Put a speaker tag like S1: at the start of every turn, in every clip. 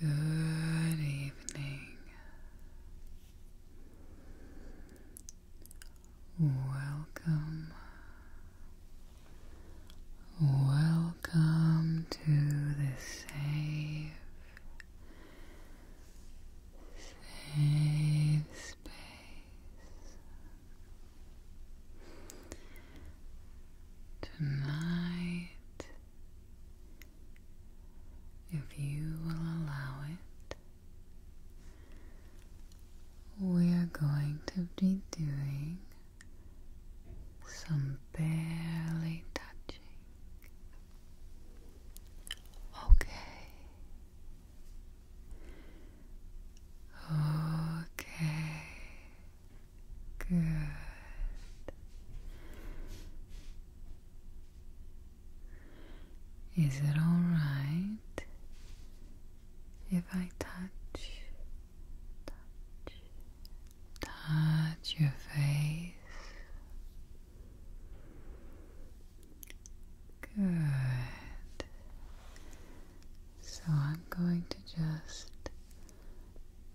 S1: Good evening. Welcome. Welcome to the safe safe space. Tonight, if you will allow it, we are going to be doing some barely touching Okay. Okay. Good. Is it all right if I touch, touch, touch your face? Good. So I'm going to just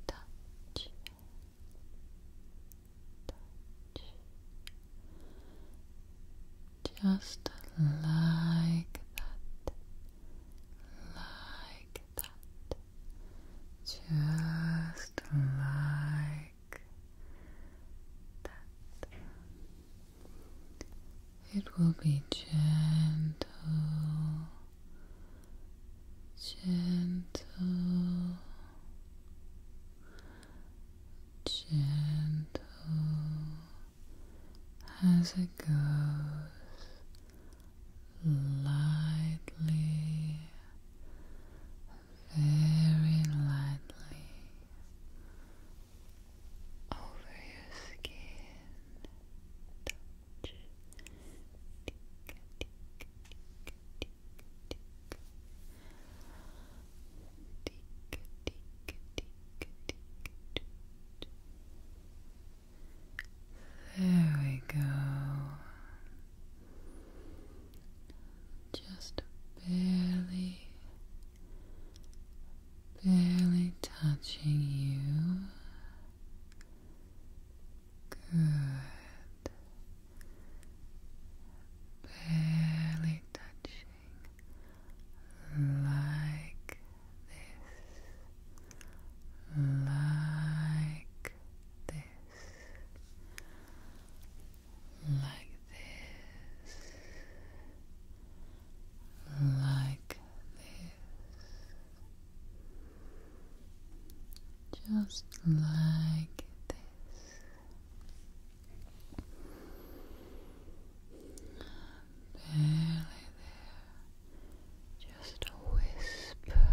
S1: touch, touch, just like that, like that, just like it will be gentle, gentle, gentle as it goes lightly, very lightly over your skin. There we go just barely, barely touching you. Good. Barely touching like this, like this like this, like this, just like this. Barely there, just a whisper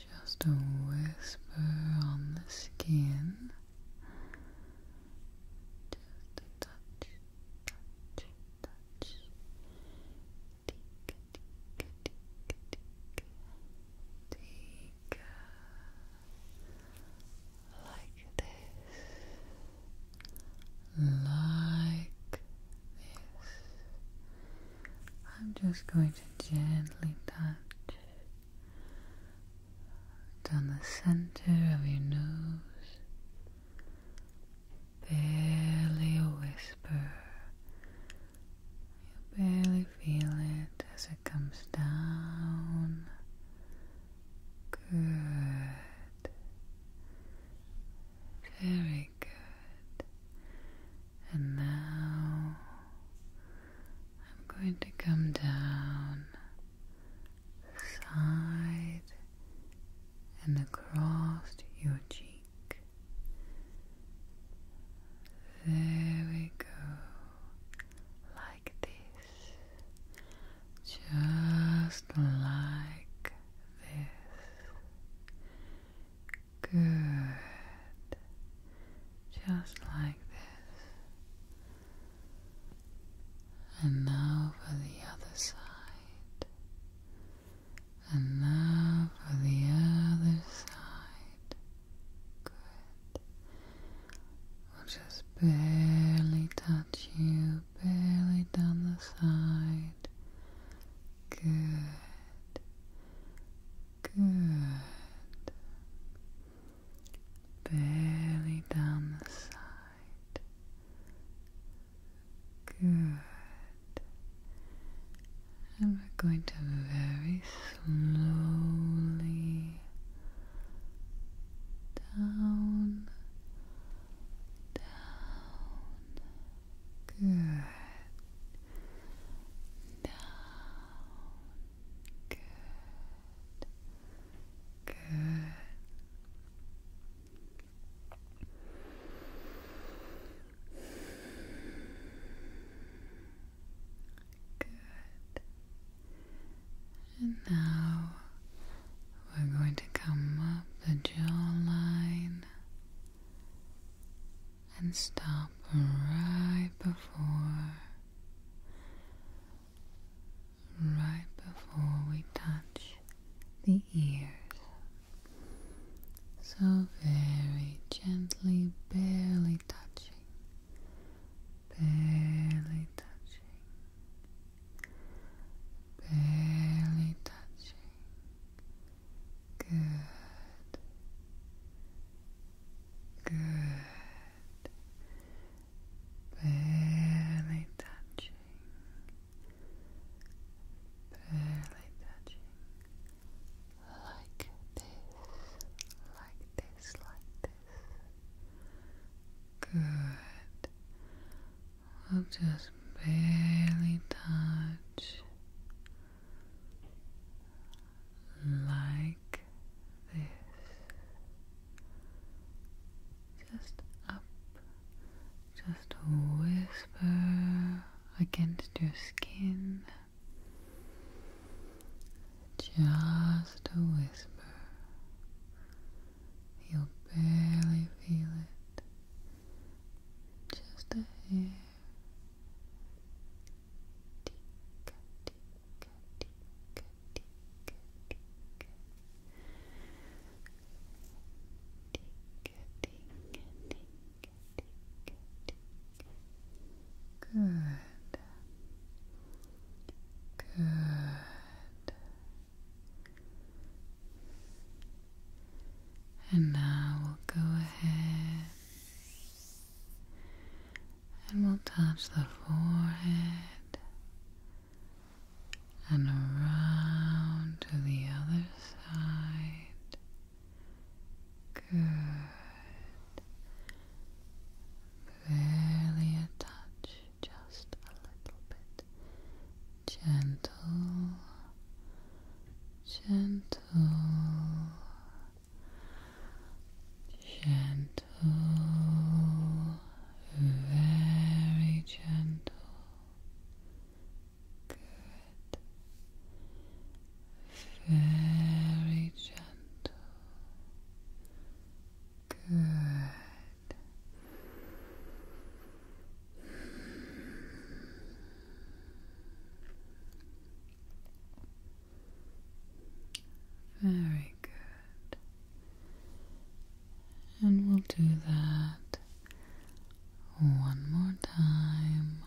S1: just a whisper on the skin. Just a touch, touch, touch. Like this. Like I'm just going to gently touch down the center of your nose, barely a whisper. You barely feel it as it comes down. Good. Very good. And now I'm going to come down side and across your cheek. There we go. Like this. Just like this. Good. Just like this. And now for the other side. And now for the other side. Good. We'll just barely touch you, barely down the side. Good. Good. Barely down the side. Good. And we're going to very slowly down, down, Good. Down. Good. Good. Good. And now we're going to come up the jawline and stop right before right before we touch the ears so very gently barely touching barely touching barely touching Good. Good. Barely touching. Barely touching. Like this. Like this. Like this. Good. I'll just barely touch like this. Just up, just whisper against your skin. Just a whisper. You'll barely feel it just a hair. Good. Good. And now we'll go ahead and we'll touch the forehead and around to the other side. Good. Barely a touch, just a little bit gentle, gentle, gentle, very gentle. Good. Very gentle. Good. Very good. And we'll do that one more time,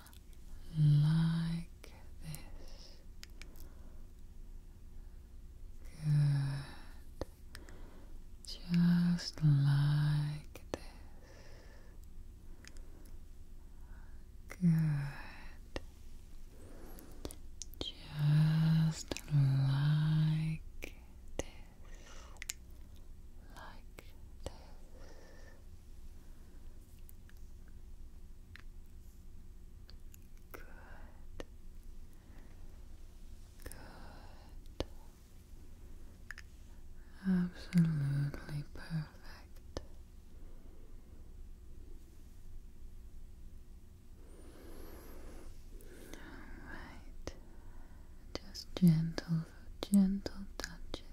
S1: like this. Good. Just like this. Good. Just like this. Like this. Good. Good. Absolutely perfect. All right. Just gentle, gentle touches.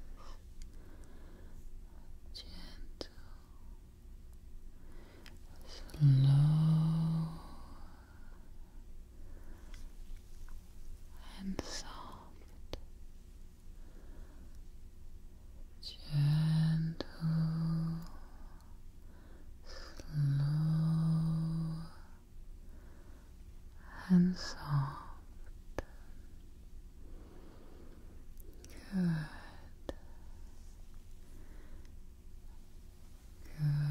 S1: Gentle. Slow and soft, gentle, slow and soft. Good. Good.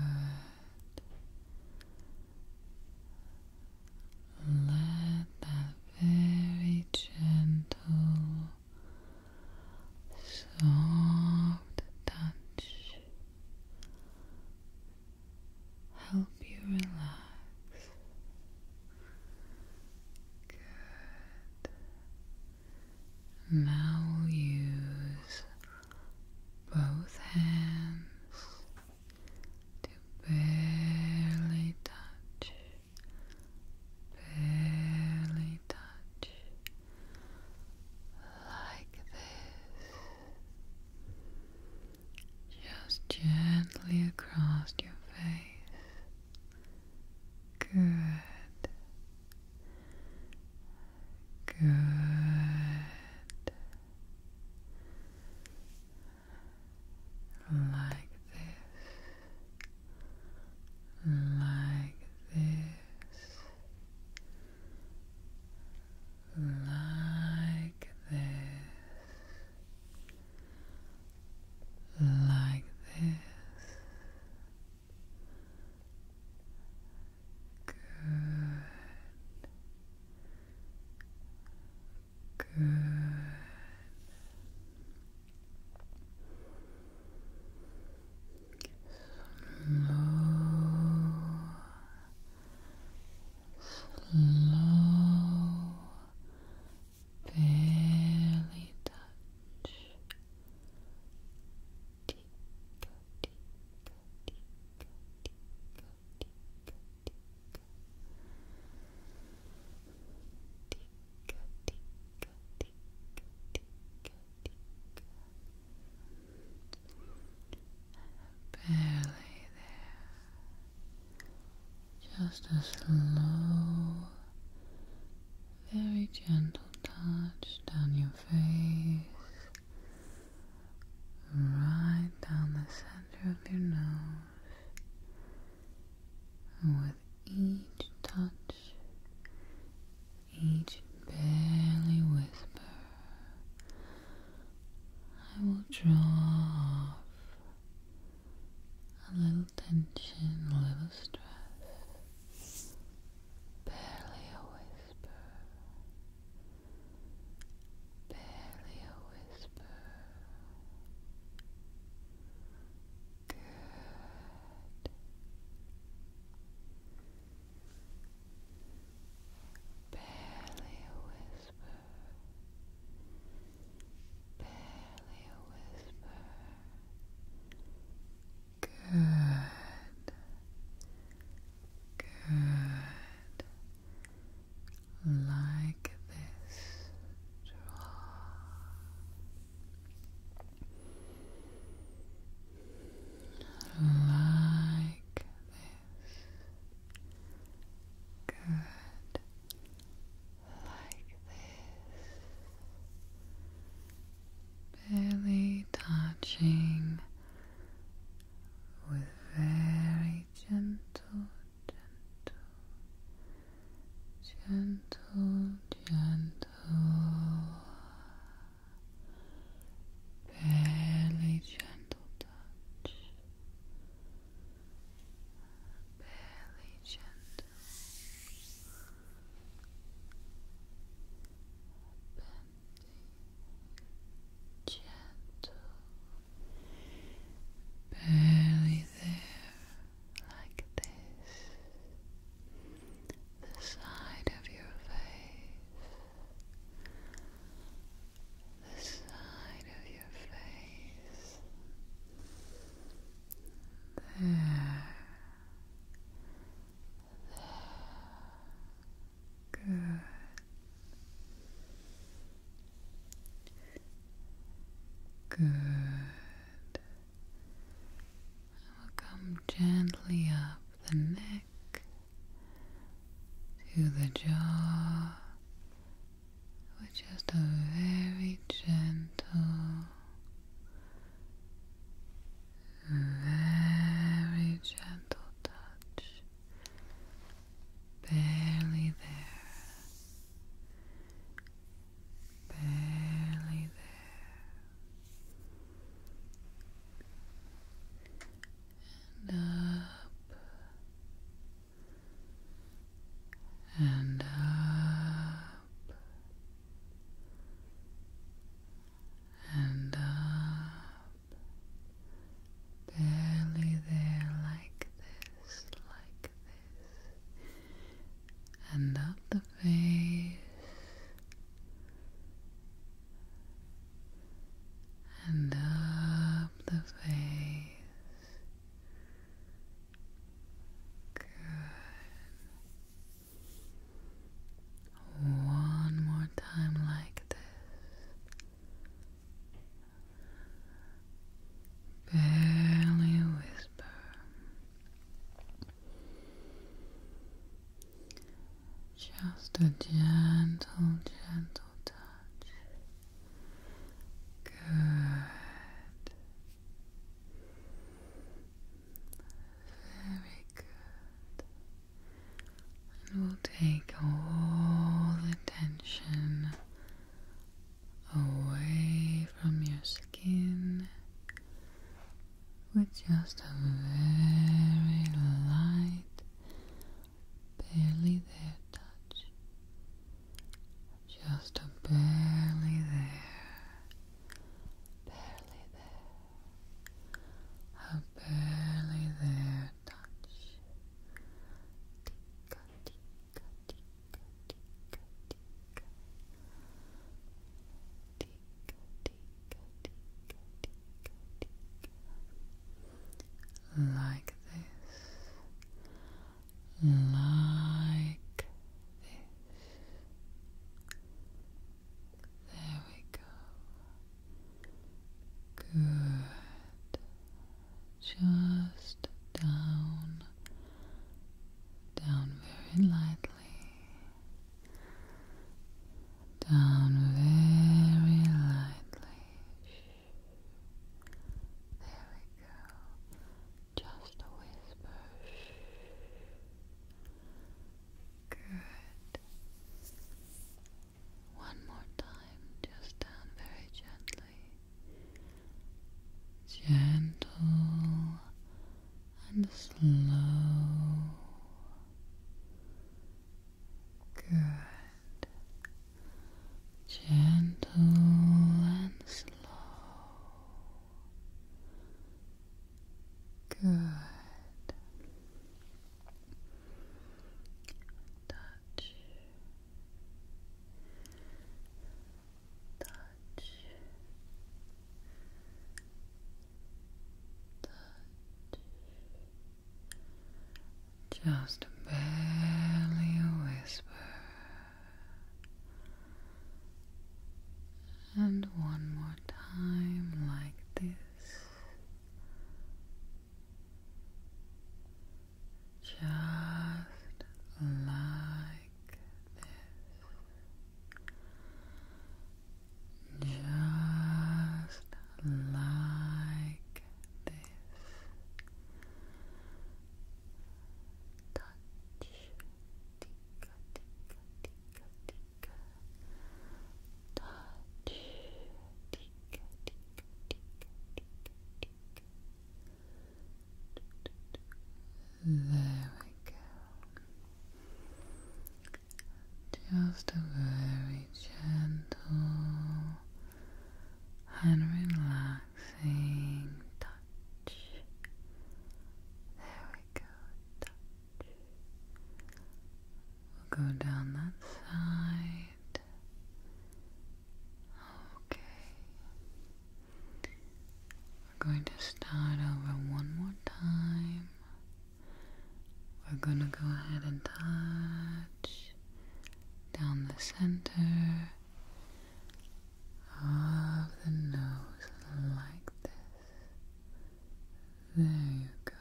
S1: Let that very gentle, soft touch help you relax. Good. Now use both hands to barely touch, barely touch, like this, just gently across your face. Good. Good like this, like this, like this, like this, Good. Good. Slow, slow, barely touch, deep Barely there. Just a slow, very gentle touch down your face right down the center of your nose. with each touch, each barely whisper, I will draw off a little tension, a little stress. Barely a whisper barely a whisper. Good. Barely a whisper. Barely a whisper. Good. Good. Like this. Draw. Like this. Good. Like this. Barely touching with very gentle, gentle, gentle, gentle, barely gentle touch, barely gentle. Bending gentle, barely there, like this, the side of your face, the side of your face, there. There. Good. Good. I will come gently up the neck to the jaw with just a very gentle very gentle touch. Barely there. Barely there. And up. And up. And up barely there, like this, like this, and up the face, and up the face. Good. One more time, like this. Barely whisper. Just a gentle, gentle touch. Good. Very good. And we'll take all the tension away from your skin with just a very light, barely there touch. Just a barely there, barely there a barely there touch. Like this. Like this. There we go. Good. Just down, down very lightly, down very lightly. There we go. Just a whisper. Good. One more time, just down very gently. Gentle and slow. Good. Gentle and slow. Good. Touch. Touch. Touch. Just barely whisper. And one more time, like this just like this, just like this touch, There we go. Just a very gentle and relaxing touch. There we go. Touch, We'll go down that side. Okay. We're going to start over one more time. We're going to go ahead and touch down the center of the nose like this. There you go.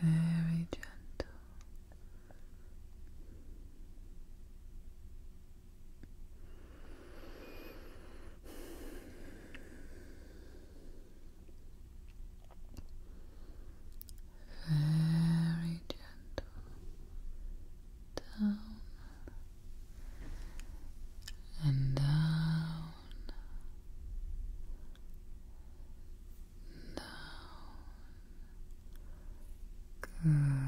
S1: Very gentle. Very gentle down and down, down. Good.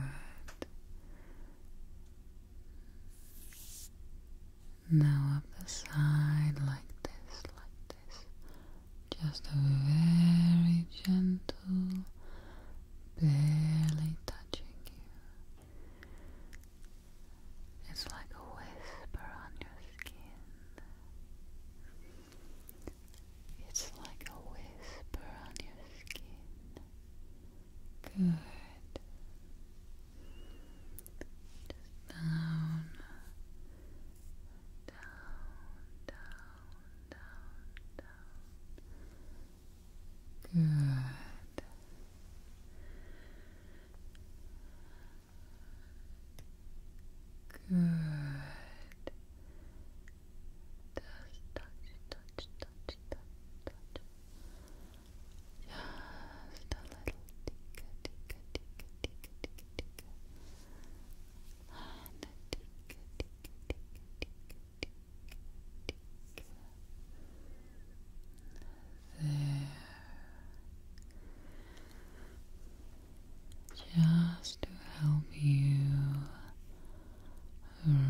S1: Now up the side, like this, like this. Just a very gentle, barely touching you. It's like a whisper on your skin. It's like a whisper on your skin. Good. Just down, down, down, down, down. Good. Good. touch, touch, touch, touch, touch. Just a little ticka, ticka, ticka, ticka, ticka, And ticka, ticka, ticka, ticka, there. Just to help you relax.